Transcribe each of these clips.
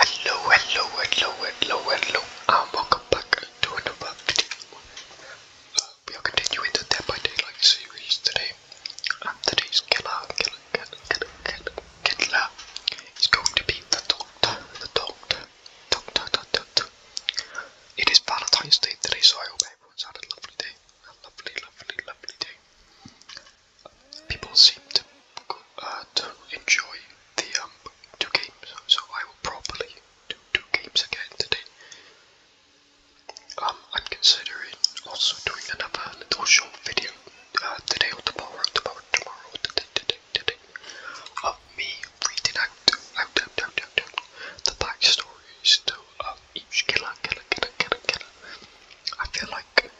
Hello, hello, hello, hello, hello, and welcome back to another video. Uh, we are continuing the Dead by Daylight series today, and today's killer, killer, killer, killer, killer, killer is going to be the Doctor, the Doctor, Doctor, Doctor, Doctor. It is Valentine's Day today, so I hope everyone's had a lovely day, a lovely, lovely, lovely day people seem to uh, enjoy the um, two games, so I will probably do two games again today. Um, I'm considering also doing another little short video uh, today or tomorrow, tomorrow, tomorrow, today, today, tomorrow, of me reading out, out, out, out, out, out the backstories to um, each killer, killer, killer, killer, killer. I feel like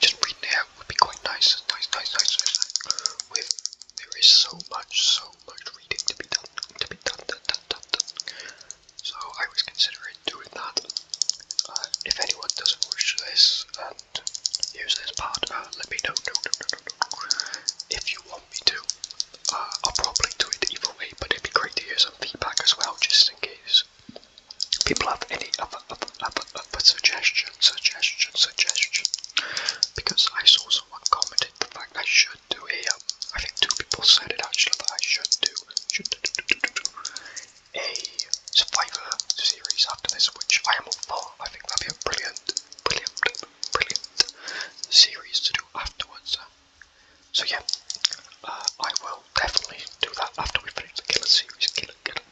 just reading it would be quite nice, nice, nice, nice, nice. With there is so much, so much reading to be done, to be done, done, done, done, So I was considering doing that. Uh, if anyone doesn't wish this and use this part, uh, let me know. No, no, no, no, no. If you want me to, uh, I'll probably do it either way. But it'd be great to hear some feedback as well, just in case people have any other, other, other, other suggestion, suggestion, suggestion. Because I saw someone commented the fact I should do a, um, I think two people said it actually, that I should do, should do, a Survivor series after this, which I am all for. I think that'd be a brilliant, brilliant, brilliant series to do afterwards. So yeah, uh, I will definitely do that after we finish the Killer series, Killer, Killer,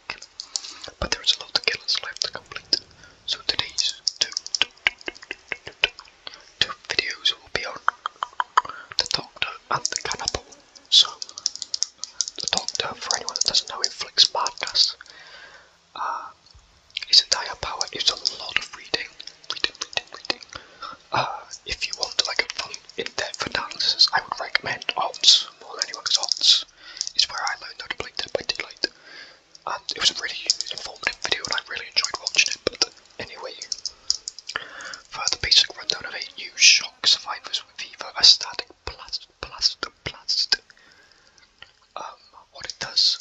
but there's a lot of killers left to complete, so today's two, two, two, two, two, two videos will be on the Doctor and the Cannibal. So, the Doctor, for anyone that doesn't know, inflicts madness. Uh, his entire power is a lot of reading, reading, reading, reading. Uh, if you want like a fun, in-depth analysis, I would recommend Odds more than anyone's Odds is where I learned how to play by Daylight. And it was a really informative video and I really enjoyed watching it, but anyway. For the of it, shock survivors with either a static um, what it does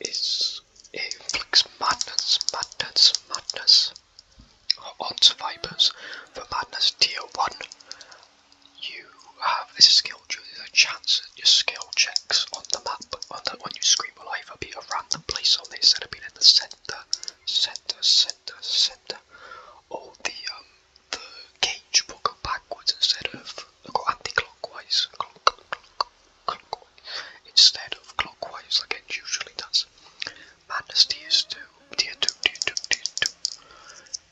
is it inflicts madness, madness, madness on survivors for madness tier 1 you have this skill tree, there's a chance that your skill checks on the map on, the, on your screen will either be a random place on this instead of being in the center, center, center, center, or the um, the gauge will go backwards instead of go anti-clockwise, clock, clock, clockwise instead of clockwise like it usually does. Madness tiers two, tier two, tier two, tier two.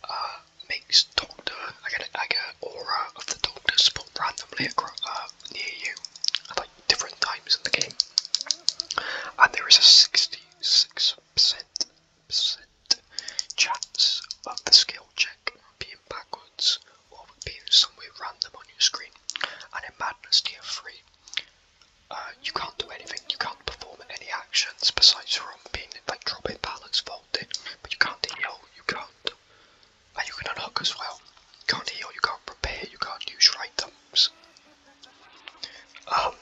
Uh, makes Doctor like an, an aura of the Doctor spot randomly across, uh, near you at like different times in the game, and there is a sixty-six percent chance of the skill check being backwards or being somewhere random on your screen. And in Madness Tier Three, uh, you can't do anything. You can't perform any actions besides roll being like dropping pallets, folding, but you can't heal, you can't. And you can unhook as well. You can't heal, you can't repair, you can't use your items. Um,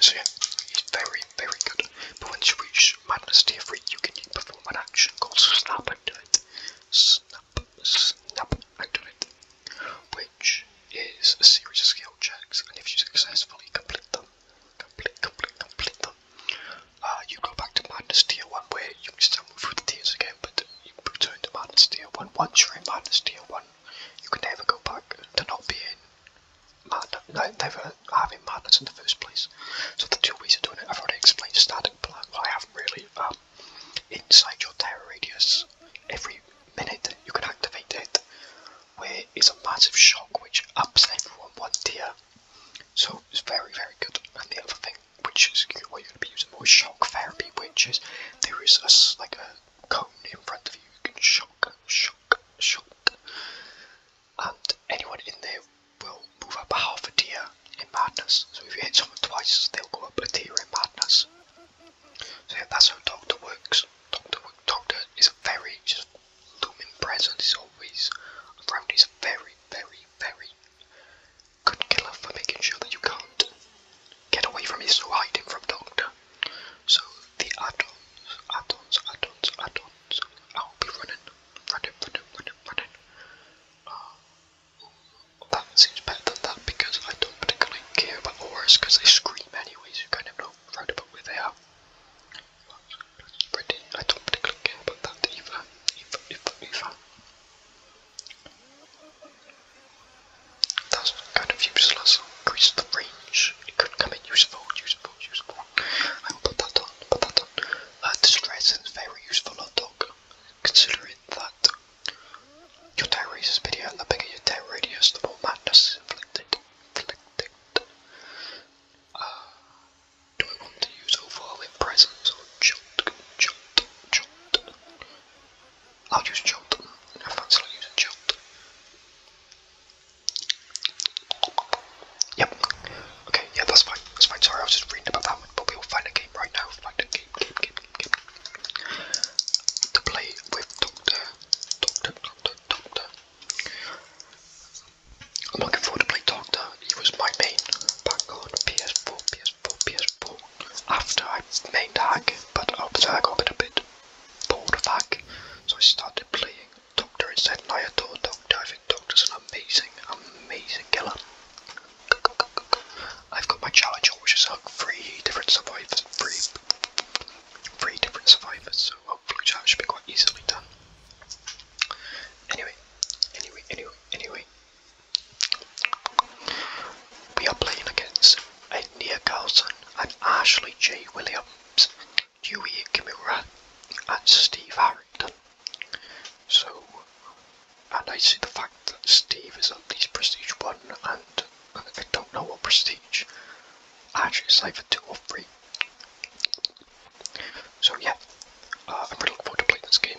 so yeah, he's very, very good. But once you reach Madness tier 3, you can perform an action called Snap and do it. Snap, snap and do it. Where which is a series of skill checks, and if you successfully complete them, complete, complete, complete them, uh, you go back to Madness Tier 1 where you can still move through the tiers again, but you return to Madness Tier 1. Once you're in Madness Tier 1, you can never go back to not being mad, no, never having madness in the first place. So the two ways of doing it, I've already explained the static plan, well I haven't really, um, inside your terror radius, every minute you can activate it, where it's a massive shock which ups everyone one tier. So it's very, very good. And the other thing, which is what you're going to be using more is shock therapy, which is there is a, like a cone in front of you, you can shock, shock, shock. And anyone in there will move up half a tier in madness. So if you hit someone twice, they'll go up a tier in madness. So yeah, that's how Doctor works. Doctor Doctor is a very just looming presence is always around. He's a very, very, very good killer for making sure that you can't get away from his hiding from Doctor. So the add-ons, add-ons, I'll be running, running, running, running, running. Uh, that seems better than that because I don't particularly care about auras because they scream anyways. You kind of know right about where they are. I don't particularly care about that either, either, either, either. That's kind of useless, increase the range, it could come in useful, useful, useful. I will put that on, put that on. distress is very useful on dog, considering that your terror radius is bigger, and the bigger your terror radius, the more madness is Inflicted do I want to use overall in or jolt? Jolt, jolt. I'll use jolt. I fancy not using jolt. Yep. Okay, yeah, that's fine. That's fine. Sorry, I was just reading about that one, but we'll find a game right now. Find a game, game, game, game. To play with Doctor, Doctor, Doctor, Doctor. I'm looking forward to play Doctor. He was my main back on PS4, PS4, PS4. After I mained Hack, but obviously I got a bit, a bit bored of so I started playing Doctor instead, and I adore Doctor. I think Doctor's an amazing, amazing killer. I've got my challenge, which is like three different survivors, three different survivors, so hopefully that should be quite easily done. Anyway, anyway, anyway, anyway. We are playing against Edna Carlson and Ashley J. Williams, Dewey Kimura, and Steve Harrington. So, and I see the fact that Steve is at least Prestige 1, and I don't know what Prestige. Actually, it's either 2 or 3, so yeah, uh, I'm really looking forward to playing this game,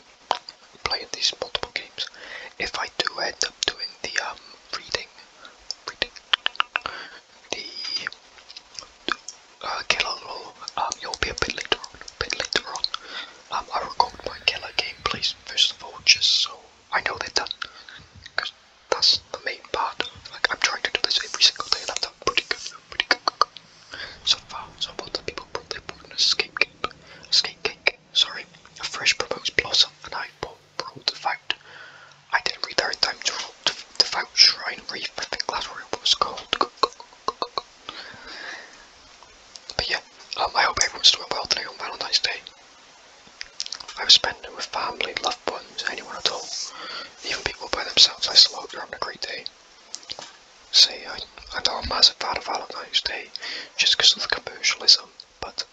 playing these multiple games. If I do end up doing the um reading, reading the uh, killer role, um, will be a bit later on. A bit later on, um, I record my killer gameplays first of all, just so I know they're done. That's the main part. Like I'm trying to do this every single day, and I've done pretty good, pretty good, good, good. so far. So what the people probably bought an escape cake, escape cake. Sorry, a fresh proposed blossom, and I bought rolled the vout. I didn't read there in time to roll the, the vout shrine wreath. I think that's what it was called. But yeah, um, I hope everyone's doing well today on Valentine's Day. I've spending with family, loved ones, anyone at all. Even people by themselves, I still hope they're having a great day. See, I, I'm not a fan of Valentine's Day just because of the commercialism, but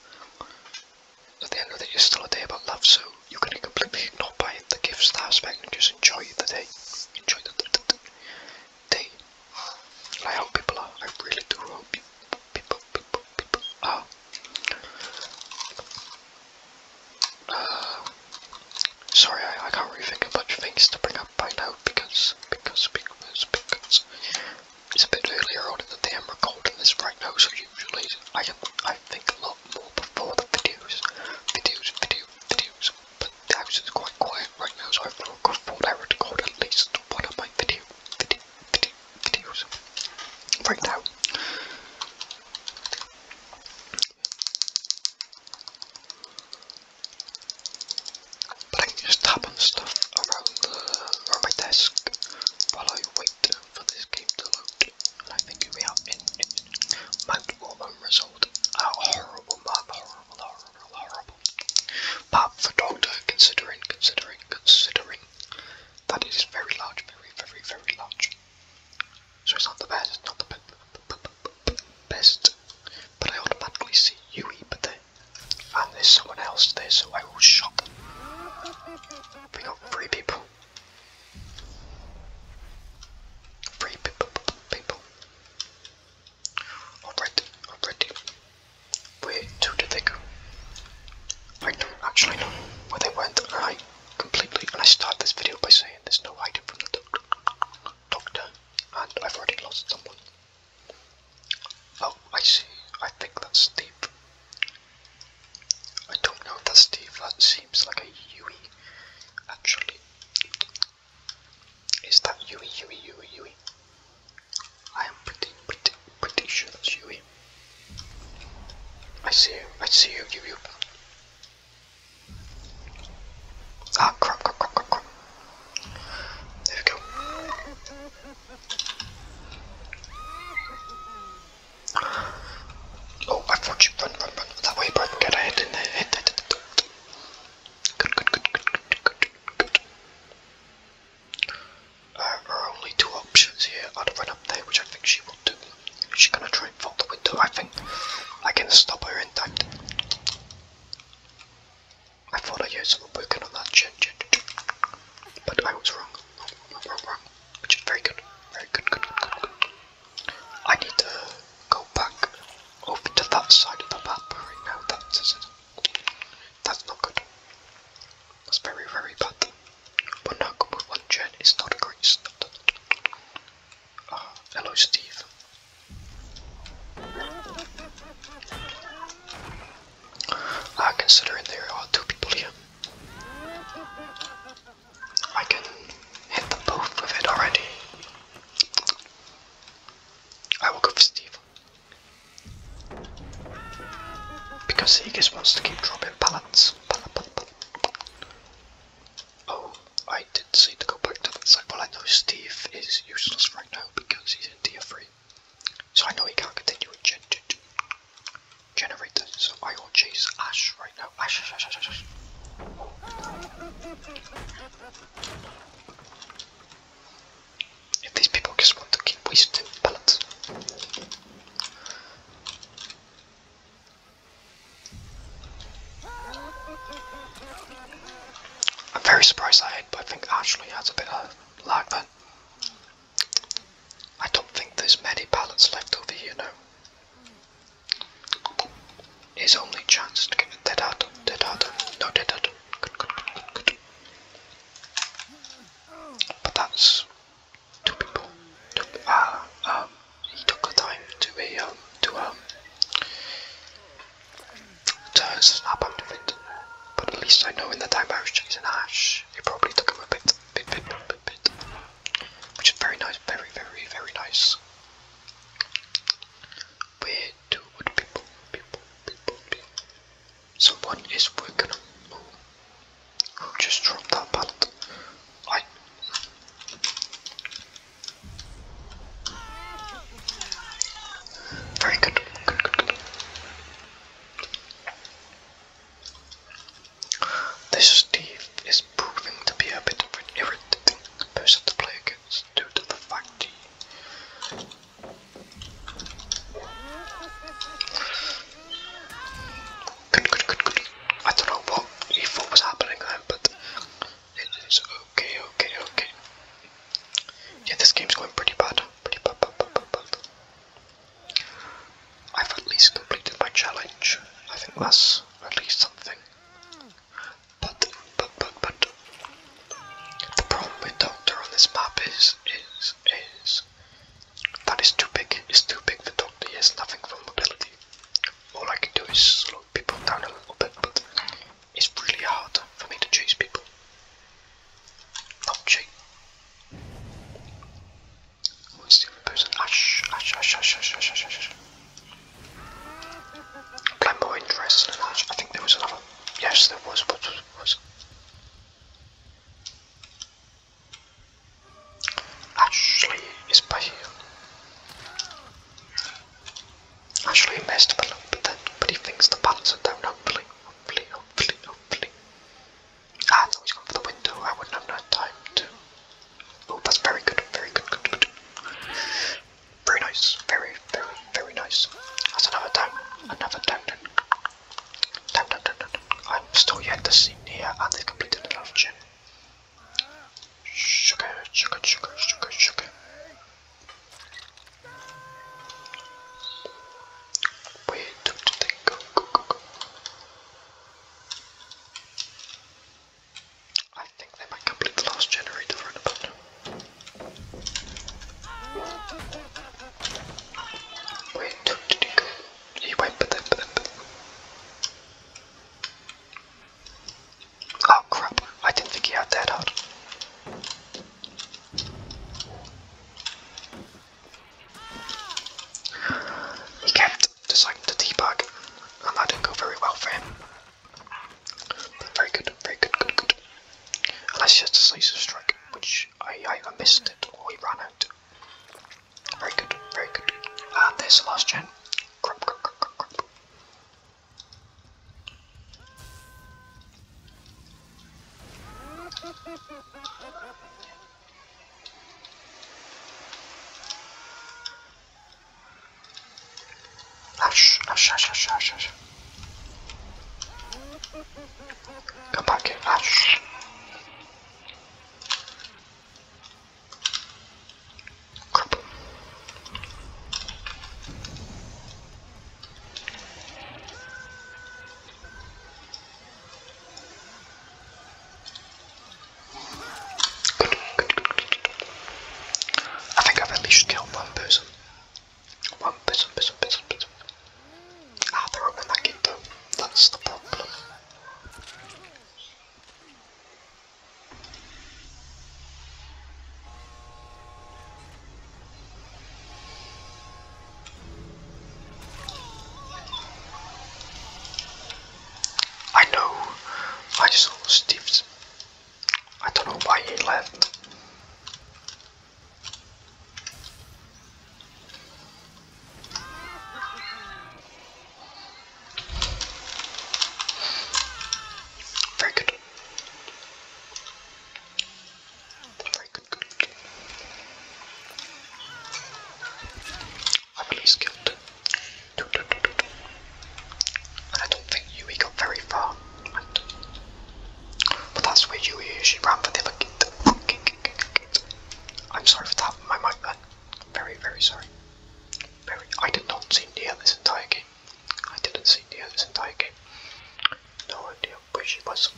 at the end of the day, it's still a day about love, so you can completely ignore by the gifts that aspect and just enjoy the day. Enjoy the, day. And I hope people are, I really do hope people, people, people are sorry, I, can't really think of things to bring up by now because because because because it's a bit earlier on in the day. I'm recording this right now, so usually I can I think a lot more before the videos, videos, videos videos. But the was is quite quiet right now, so I've thought at least one of my video, video, videos right now. I can just tap stuff around, the, my desk while I wait for this game to load. And I think we have in Mount Auburn result. horrible map, horrible, horrible, horrible. But for Doctor, considering, considering, considering that it is very large, very, very, very large. So it's not the best, it's not the b best. But I automatically see Yui, but they, and there's someone else there, so I will shot them. We got three people. Three people. people. Already, already. Where two did they go? I do actually know where they went, completely. And I start this video by saying there's no hiding from the doctor, and I've already lost someone. Oh, I see. I think that's Steve. I don't know if that's Steve. That seems like a Yui. Actually, is that Yui, Yui, Yui, Yui? I am pretty, pretty, pretty sure that's Yui. I see you. I see you, you, Ah, crap, crap, crap, crap, There we go. Oh, I thought you run, run, run that way, but get ahead in there. Hit, hit, hit, hit. Good, good, good, good, good, good, good. Uh, only two options here. I'd run up there, which I think she will do. She's gonna try and fall the window, I think. I can stop her in time. I thought I heard someone working on that chin, chin, chin. But I was wrong. wrong. Wrong, wrong, Which is very good. Very good, good, good, good, good. I need to go back over to that side of the map right now. That's, that's not good. That's very, very bad. But now is not great. It's ah, hello, Steve. Uh, considering there are two people here, I can hit them both with it already. I will go for Steve. Because he just wants to keep dropping pallets. Oh, I did not seem to go back to that side. Well, I know Steve is useless right now because he's in tier 3. So I know he can't continue to generate gen so I will chase Ash right now. Ash, Ash, Ash, Ash, Ash. If these people just want to keep wasting bullets. I'm very surprised I hit, but I think actually has a bit of lag then. I don't think there's many pallets left over here now. His only chance to get dead out, dead out, no dead out. Good, good, good, good. But that's two people took uh, ah, um, he took the time to be um to um to snap out of it. But at least I know in the time I was chasing Ash, it probably took him a bit, bit, bit, bit, bit, bit. Which is very nice, very, very, very nice. Where do would people, people, people be? Someone is working on. Oh, just drop that butt. I. Very good. Good, good, good. This Steve is proving to be a bit of an irritating person to play against due to the fact he I don't know what E4 was happening then, but it is okay, okay, okay. Yeah, this game's going pretty bad. Pretty bad, bad, bad, bad, bad. I've at least completed my challenge. I think that's at least something. But, but, but, but. The problem with Doctor on this map is, is, is. That is too big. It's too big for Doctor. He has nothing for mobility all I can do is slow people down a little bit, but it's really hard for me to chase people. Not chase. What's the other person? Ash, Ash, Ash, Ash, Ash, Ash, Ash, Ash. Plan more interest I think there was another. Yes, there was. What was. Ashley is by here. Ashley messed the loop, but then but he thinks the pants are down, hopefully. Hopefully, hopefully, hopefully. Ah, I thought he's gone for the window. I wouldn't have no time to. Oh, that's very good, very good, good, good. Very nice, very, very, very nice. That's another down, another down, down. Down, down, down, down. I'm still yet to scene here, and they've completed another gym. Sugar, sugar, sugar, sugar, sugar. Wait, don't think. Go, go, go, go. I think they might complete the last generator for an opponent. don't He went, but but then, Oh crap, I didn't think he had that hard. He kept deciding to debug, and that didn't go very well for him. But very good, very good, good, good. And that's just a slice of strike, which I either missed it or he ran out. Very good, very good. Ah, this the last gen. Ash, ash, ash, ash, ash, ash. Come back here, ash. Ah, I think I've at least killed one person. One person, person, person, person. Ah, they that though. That's the problem. I know, I saw Steve's. I don't know why he left. Very good. Very good, good, good. I'm really skilled. And I don't think Yui got very far. But that's where Yui usually ran for the other kid. I'm sorry for that, my man. Very, very sorry. Very, I did not see Nia this entire game. I didn't see Nia this entire game. No idea where she was.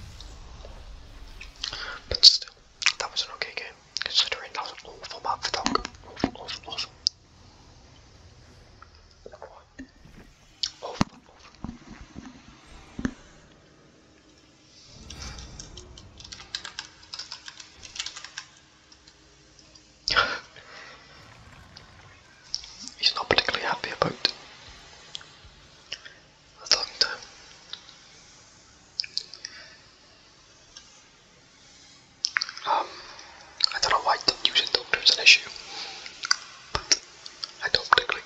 But still, that was an okay game, considering that was an awful map for Dog. Awful, He's not particularly happy about that. Um, I don't know why using thunder is an issue, but I don't particularly.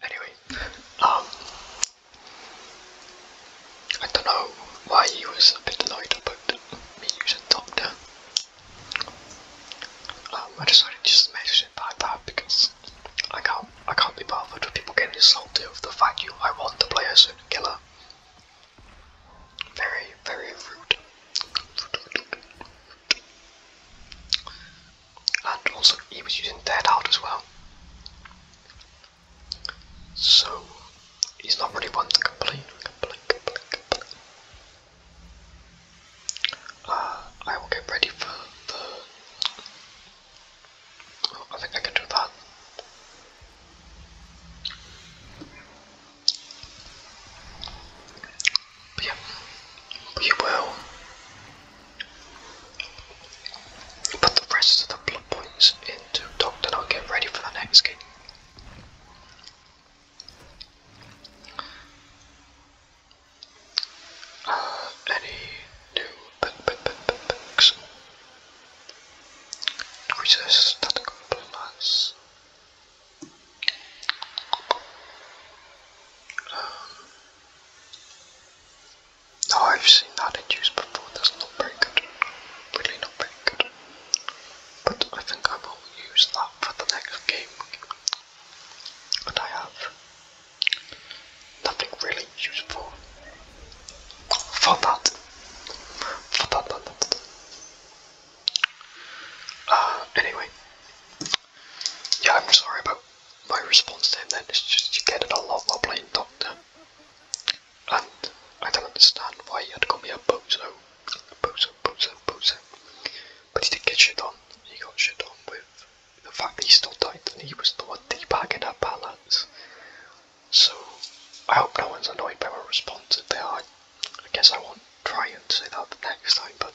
Anyway, um, I don't know why he was a bit annoyed about me using Doctor. Um, I decided to just message it like that because I can't I can't be bothered with people getting insulted over the fact you I want to play as a certain killer. Very, very rude. And also he was using Dead Heart as well. So he's not really one to complain, uh, I will get ready for the. I think I can do that. yeah, we will Put the rest of the blood points into Doctor I'll get ready for the next game. Uh, any new picks? Increases static plus. No, oh, I've seen that in use before, that's not very good. Really not very good. But I think I will use that for the next game. And I have nothing really useful for that. For that, that, that, that. Uh, anyway. Yeah, I'm sorry about my response to him then. It's just you get it a lot while playing Doctor and I don't understand why he had to call me a bozo. Bozo, bozo, bozo. But he did get shit on. He got shit on with the fact that he still died and he was the one in at balance. So I hope no one's annoyed by my response there. I, I guess I won't try and say that the next time, but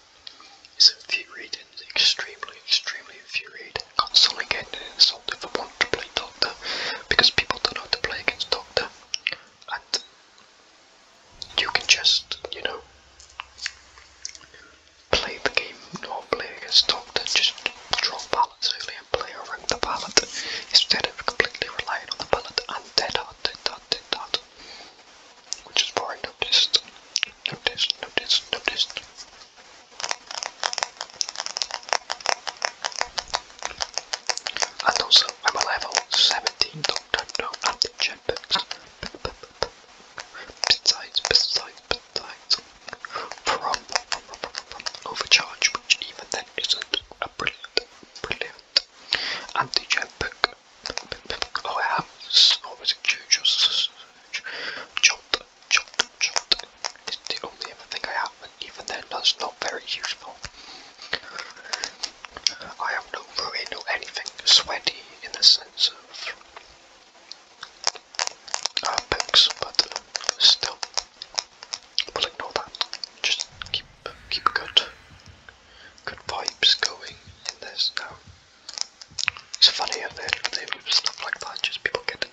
it's infuriating, extremely, extremely infuriating, constantly and sold if I want to play Doctor, because people don't know how to play against Doctor, and you can just, you know, play the game, not play against Doctor, just draw ballots early and play around the ballot, instead of completely relying on the ballot and dead out, dead out, dead out, which is boring, noticed, noticed, noticed, noticed. And also, I'm a level 17 Doctor No Antigen books. Besides, besides, besides, from, from, from Overcharge, which even then isn't a brilliant, brilliant antigen book. Oh, I have, what was it, Jolt, Jolt, Jolt, it's the only other thing I have, and even then that's not very useful. I have no ruin or anything sweaty in the sense of uh, but still, we'll ignore that. Just keep keep good, good vibes going in this now. It's funny how they, they stuff like that, just people getting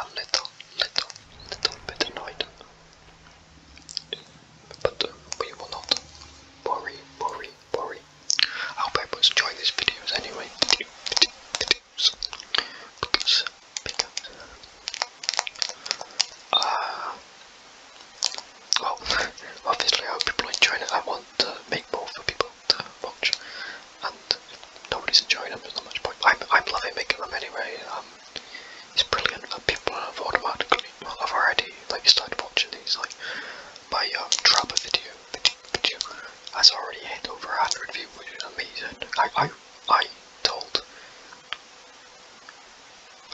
a little, little, little bit annoyed but uh, we will not worry, worry, worry. I hope people enjoy these videos anyway. Uh, well, obviously I hope people are enjoying I want to make more for people to watch, and nobody's enjoying them, there's not much point. I'm, I'm loving making them anyway. Um, it's brilliant people have automatically, well, I've already like started watching these. Like my Trapper uh, video, video, video has already hit over 100 views, amazing. I, I, I told,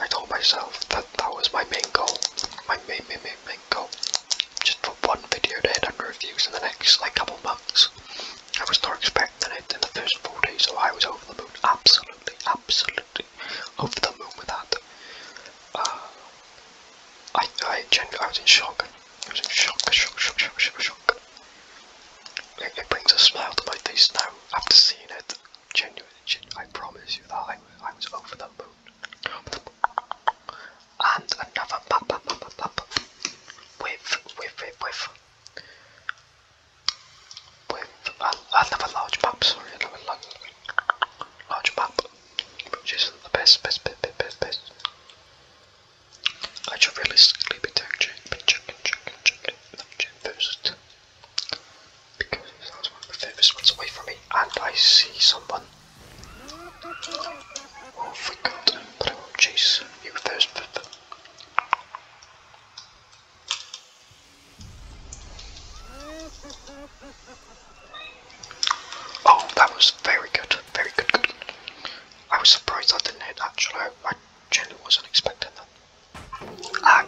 I told myself that that was my main goal. My main, main, main goal. Just for one video to hit 100 views in the next like couple months. I was not expecting it in the first four days, so I was over the moon, absolutely, absolutely over the moon with that. Uh, I, I, genuinely, I was in shock. I was in shock, shock, shock, shock, shock, shock. It, brings a smile to my face now after seeing it. Genuinely, genuinely I promise you that I, I was over the moon. And another pop, pop, pop, pop, pop. With, with, with, with with uh, another large pub, sorry, another large pub, which is the best, best, best, best, best, best. I should realistically be doing chicken, chicken, chicken, chicken, not chicken first, because that was one of the furthest ones away from me, and I see someone. Oh, forgot, but I will chase you first. Oh, that was very good, very good, I was surprised I didn't hit that shot. I genuinely wasn't expecting that. Ah,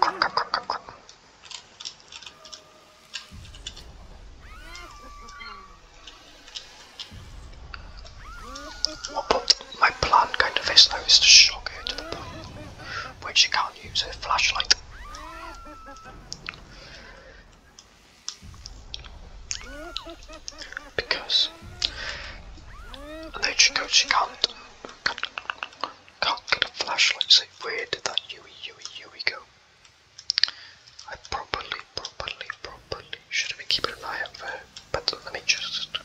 but my plan kind of is now, is to shock her to the point where she can't use her flashlight. Because and there she goes, she can't can't, can't get a flashlight, so where did that Yui Yui Yui go? I properly, properly, properly should have been keeping an eye out for her. But let me just.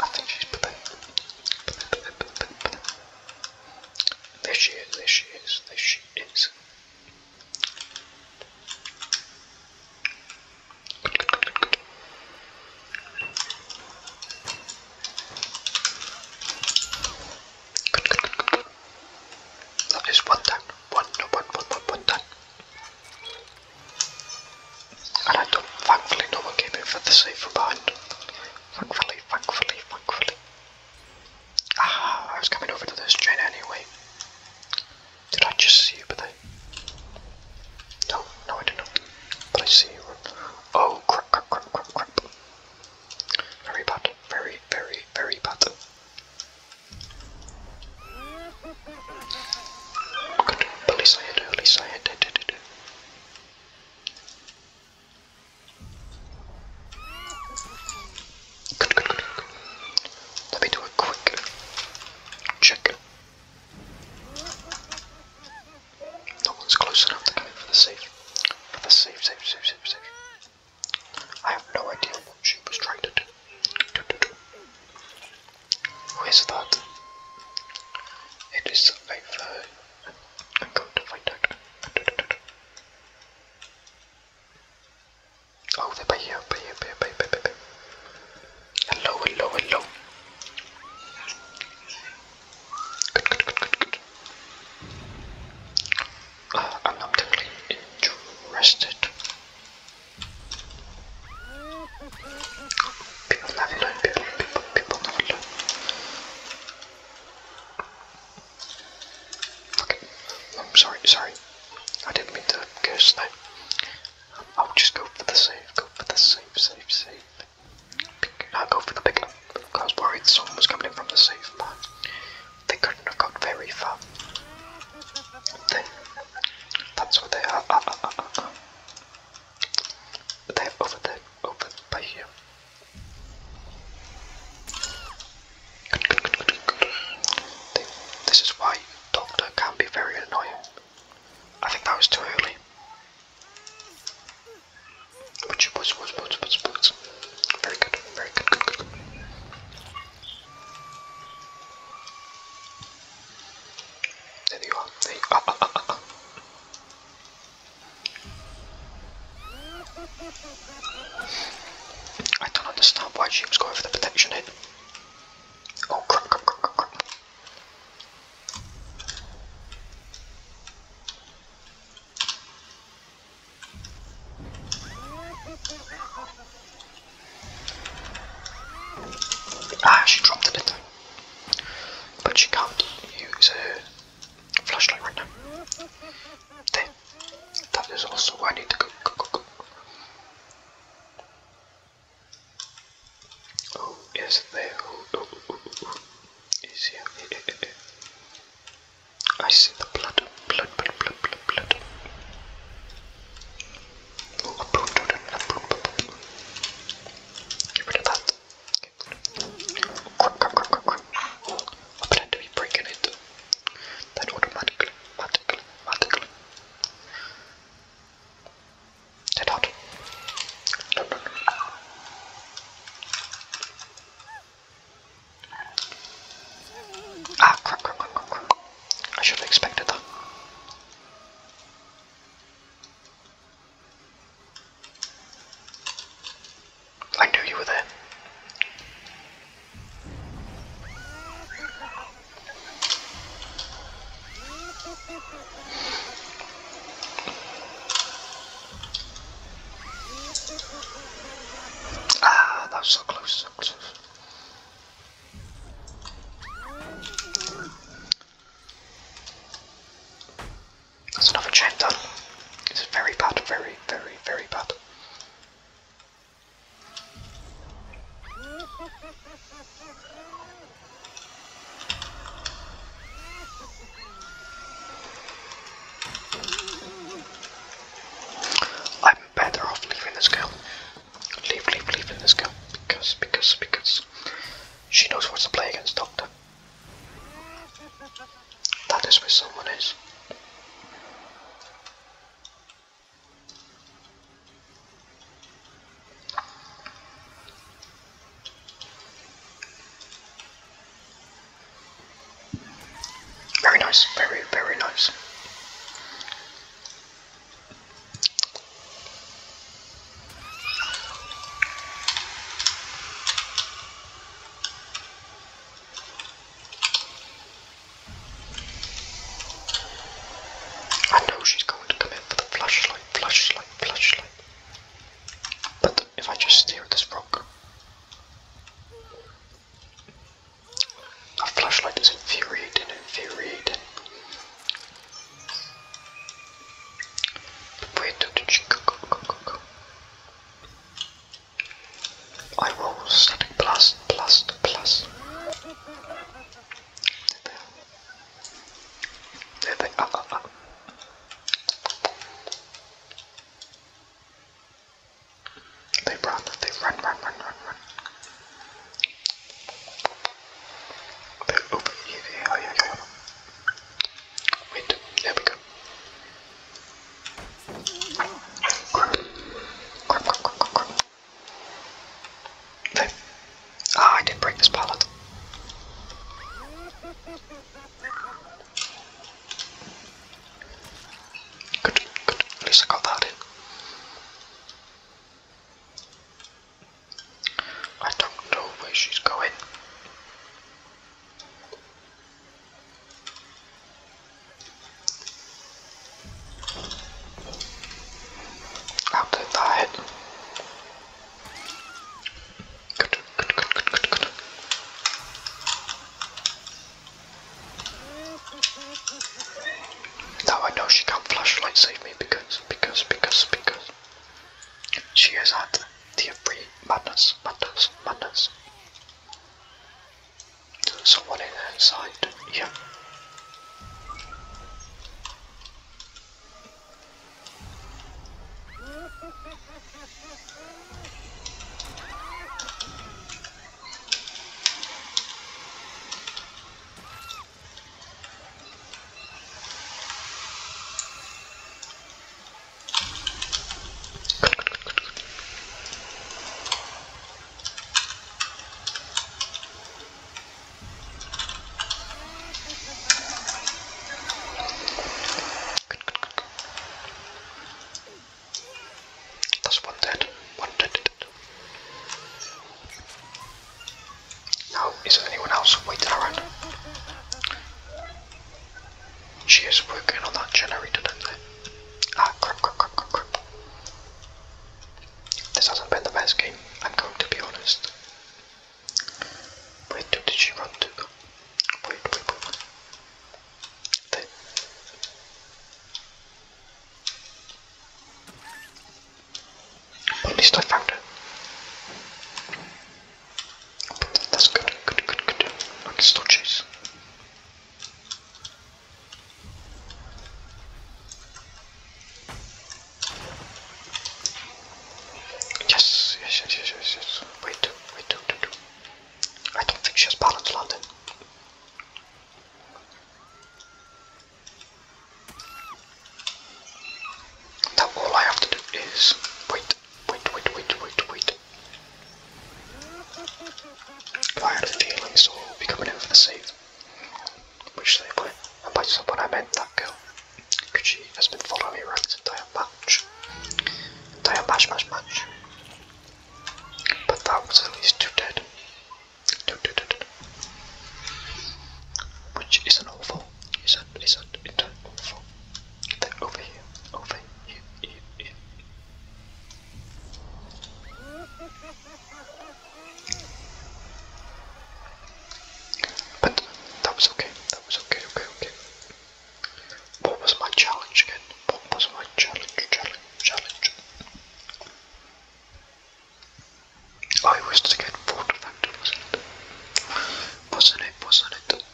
I think she's. There she is, there she is, there she is. That is one down. One, no, one, one, one, one down. And I don't, thankfully, no one in for the save behind. Thankfully, thankfully, thankfully. Ah, I was coming over to this train anyway. Did I just see you, but No, no I didn't. But I see you. Oh, crap, crap, crap, crap, crap. Very bad. Very, very, very bad. Good. Police ahead, police ahead. Da, da, da, da. Good, good, good, good. Let me do a quick check. No one's close enough to come in for the safe. For the safe, safe, safe, safe, safe. I have no idea what she was trying to do. do, do, do. Where's that? It is I've, uh, I'm going to find out. Oh, they're by here, by here, by here, by here, by here, by here. Hello, hello, hello. Good, good, good, good, good. Uh, I'm not terribly interested People love it, Okay, I'm um, sorry, sorry. I didn't mean to curse that. I'll just go for the safe. go for the safe, safe, safe. Pick, I'll go for the pickup. I was worried someone was coming in from the safe, but they couldn't have got very far. They, that's what they are. Uh, uh, uh, that I have over there, over by here. Good, good, good, good, good. This is why Doctor can be very annoying. I think that was too early. Butch, butch, butch, butch, butch, butch. Very good, very good, good, good. good. I don't understand why she was going for the protection hit. Oh crap. Ah, she dropped it, didn't But she can't use her flashlight right now. There. That is also where I need to go. Oh, yes, there. Oh, oh, oh, oh. oh. Is here. I see the blood, blood, blood, blood, blood, blood. Get rid of that. Crap, crap, crap, crap, crap. I plan to be breaking it. Then automatically, automatically, automatically. Dead hot. No, no, no. Ah, crap, crap, crap, crap, crap. I should have expected that. I knew you were there. Ah, that was so close, that's another chain done. It's very bad, very, very, very bad. I'm better off leaving this girl. Leave, leave, leave, and let's Because, because, because she knows what to play against Doctor. That is where someone is. Very nice, very, very nice. I know she's going to come in with a flashlight, flashlight, flashlight. But if I just stare at this rock, a flashlight is infuriating, infuriating. Wait did she go, go, go, go, go? I roll static plus, plus, plus. There they are. There they are. Uh, uh, uh. They run, they run, run, run, run, run. They're open here. Yeah, yeah, yeah. Wait, there we go. Grab, grab, grab, grab, grab, grab. There. Ah, I didn't break this pallet. Good, good. At least I got that in. I don't know where she's going. i that Good, good, good, good, good, good. Now I know she can't flashlight save me because, because, because, because. She has had the Abree Madness, Madness, Madness. someone inside, yeah. That's one dead. One dead. dead. Now, is there anyone else waiting around? She is working on that generator, isn't there? Ah, crap, crap, crap, crap, crap. This hasn't been the best game, I'm going to be honest. Wait, did she run to? Wait, wait, wait, wait. There at least I found it. that's good, good, good, good. I can Yes, yes, yes, yes, yes, Wait, wait, wait, wait. I don't think she has balance landing. Now all I have to do is wait, wait, wait, wait, wait, wait. I had a feeling someone would be coming in for the save, which they were, and someone I meant that girl, because she has been following me around this entire match. Entire match, match, match. But that was at least two dead. Two Which isn't awful. Is that is that in that form? That over here, over here, here, here. that was okay. That was okay. Okay. Okay. What was my challenge again? What was my challenge? Challenge. Challenge. I wish oh, to get water factor, was it? was it? was it?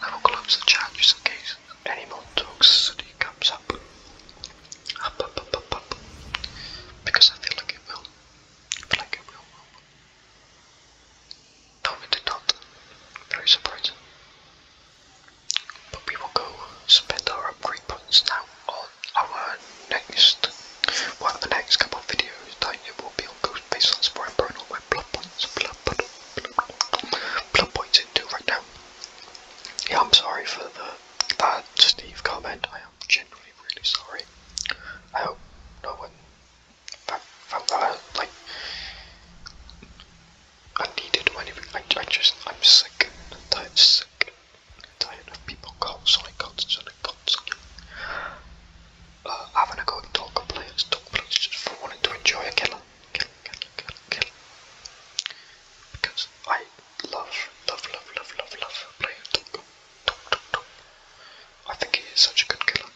I will close the chat just in case any more toxicity comes up. Because I feel like it will. I feel like it will. No, it did not. Very surprising. But we will go spend our upgrade points now our next one of the next couple of videos that you will be on Ghostface on Spore and blood points blood, points into right now. Yeah I'm sorry for the that Steve comment. I am genuinely really sorry. I hope no one like I needed money. I, I just I'm sick and I'm sick tired of people constantly, constantly, constantly uh, having a go talker players, talker players just for wanting to enjoy a killer, killer, killer, killer, killer. Because I love, love, love, love, love, love playing talker. Talk, talk, talk. I think he is such a good killer.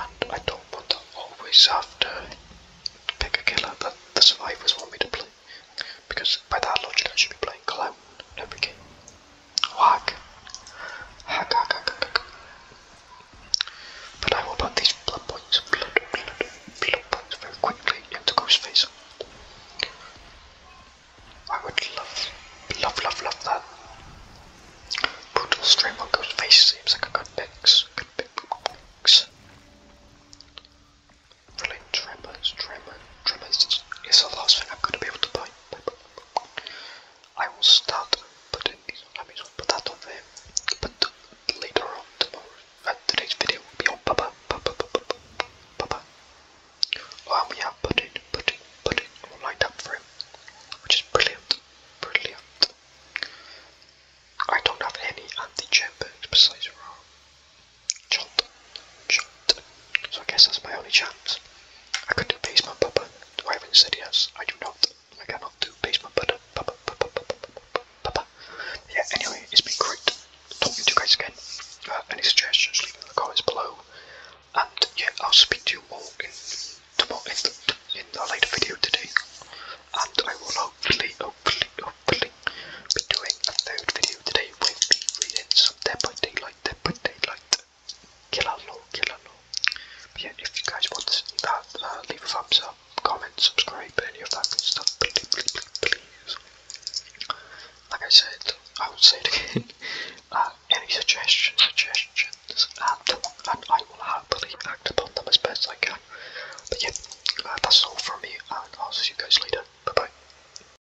And I don't want to always have to pick a killer that the survivors want me to play. Because by that logic, I should be playing clown every game. Whack. Hack, hack, hack, hack, But I will put these blood points, blood, blood, blood points very quickly into Ghostface. I would love, love, love, love that. Brutal stream on Ghostface seems like a Good mix. Really, Tremors, Tremors, Tremors is the last thing I'm going to be able to buy. I will start putting these on put that on there. But later on tomorrow, uh, today's video will be on Baba, Baba, Baba, Baba. Um, yeah, put it, put it, put it up for him, which is brilliant, brilliant. I don't have any anti-chamber besides Ra. Chomp, chomp. So I guess that's my only chance. I could do basement papa. Do I haven't said yes? I do not. I cannot do basement papa. papa, papa, papa, papa. Yeah, anyway, it's been great talking to you guys again. Uh, any suggestions, leave them in the comments below. And yeah, I'll speak to you all in tomorrow in the, in the later video today. And I will hopefully, hopefully, hopefully be doing a third video today they will be readings of Dead by Daylight, Dead by Daylight, Killer Law, Killer Law. But yeah, if you guys want to uh, leave a thumbs up, comment, subscribe, any of that good stuff, please, Like I said, I will say it again, uh, any suggestions, suggestions, um, and, I will happily act upon them as best I can. But yeah, uh, that's all from me, and I'll see you guys later. Bye bye.